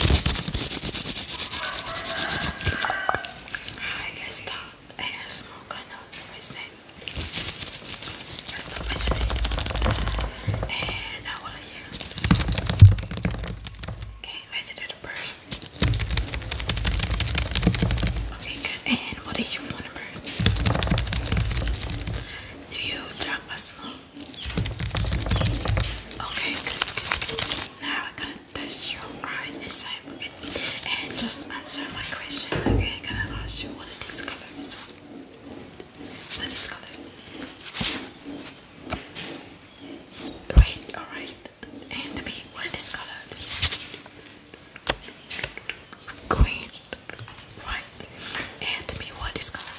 I can stop. I can smoke. I know everything. I stop yesterday, and I will hear. Okay, I did it first. Okay, good. And what is your phone number? Do you drop a smoke? Okay, Now I'm gonna test your right inside pocket and just answer my question. Okay, I'm gonna ask you what is color? This one. What is color? Great, alright. And to me, what is color? Green. Right. And to me, what is color?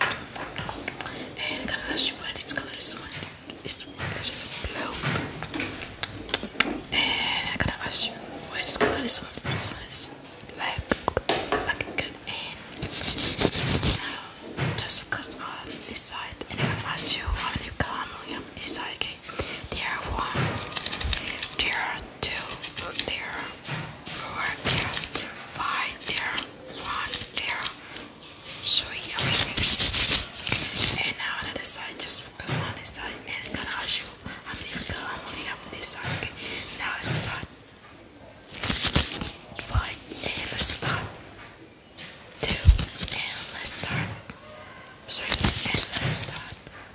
And can I ask you what its color is? It's, it's blue. And I gotta ask you what its color is. This one is black. Like good and now just focus on this side and I gotta ask you how many color on this side, okay? There are one, there are two, there four five there, one there. So here we go. And now on the side, just focus on this side and gonna show how many people I'm only up this side. Okay. Now let's start. Five let's start. Two and let's start. Three and let's start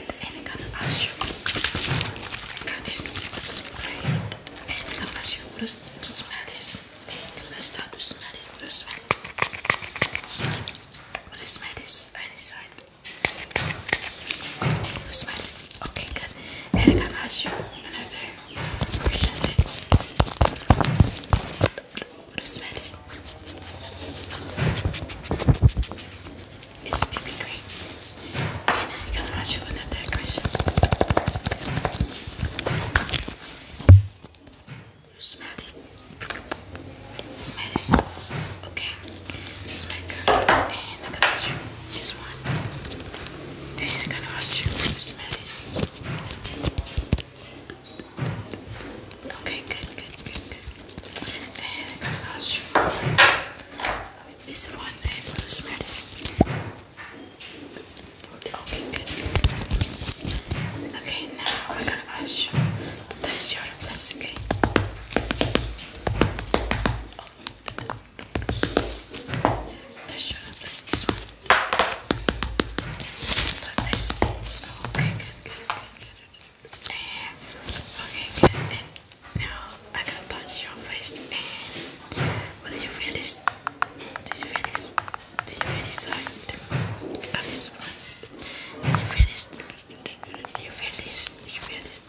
right, and I'm gonna ask you how this was sprayed, and I'm gonna ask you to smell this. So let's start to smell this. What do you smell? What do you smell this? Any side? What smell this? Okay, good. And I'm gonna ask you another question. What do you smell this? It's BB And I'm gonna show You smell it. Smell it. Okay. Smell good. And I'm gonna show you this one. Then I'm gonna show you. Smell it. Okay, good, good, good, good. And I gotta ask you with this one and I'm gonna smear this. Okay, good. Okay, now I'm gonna ask you to test your place, okay? Oh, test your place, this one. Like this. Okay, good, good, good, good. Okay, good. And now I'm gonna touch your face. And what do you feel this? Do you feel this? Do you feel this side? Got this one. Do you feel this? Do you feel this? Do you feel this?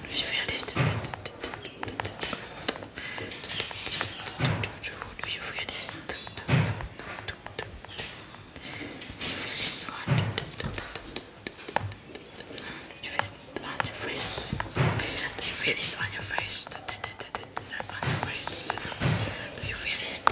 Do you feel this? You feel this? You feel this one? You feel it on your face? You feel this on your face? On your face? Do you feel this?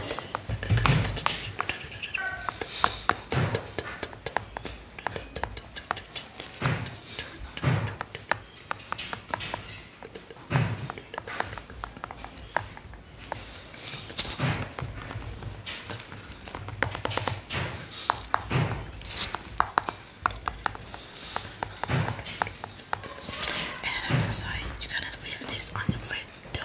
And you cannot feel this on your face too.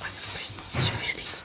On your face, you feel this.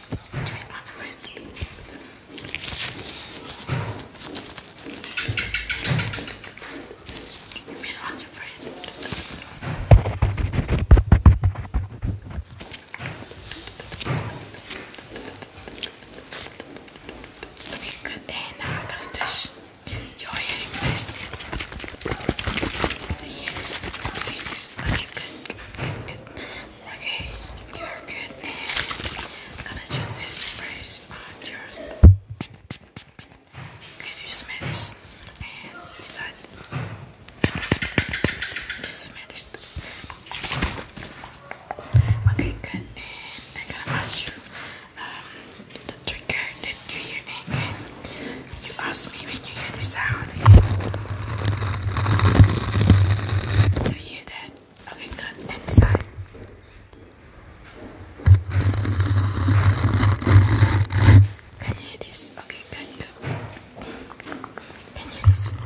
Turn on the wrist. Turn on your wrist. Looking good, and now I'm gonna dish your hair in place. Yes, yes, okay, good, good, Okay, you're good. I'm gonna just sprays yours. Can you smell this? And inside. Just smell this. Okay, good. And I'm gonna wash you. Um, the trigger that you hear again. You ask me when you hear the sound again. You hear that? Okay, good. And Can you hear this? Okay, good, Can you hear this?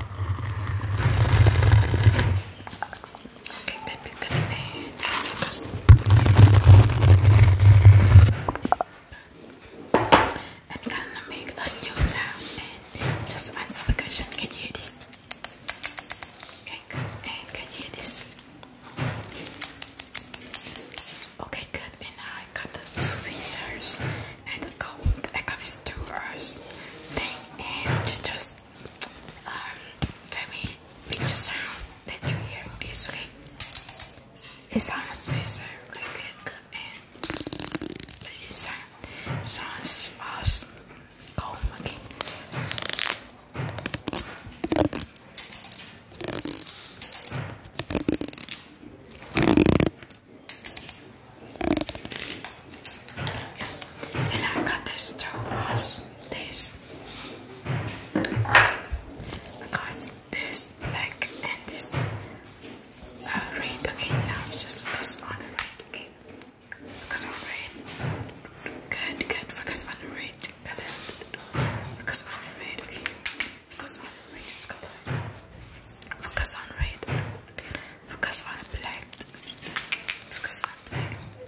Okay, good, good, good. And I'm gonna make a new sound just answer the question. Can you hear this? Okay, good. can you hear this? Okay, good. And now I got the tweezers and the comb. I got these two and just um tell me it's honestly so like good man. But it sound, sounds awesome. again. And I got this two was this because this black and this uh, red again now just focus on the red okay focus on red good good focus on the red palette focus on the red okay on the red focus on red focus on black focus on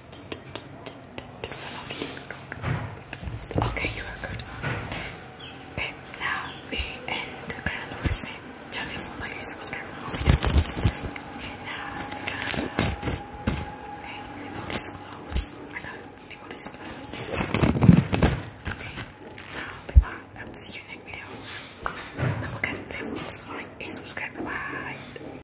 Okay, you are good. Okay, now we end the kind of the same jelly food subscribe Okay, now okay, this clothes. Okay, now bye will um, see you next video. Don't forget to subscribe. bye.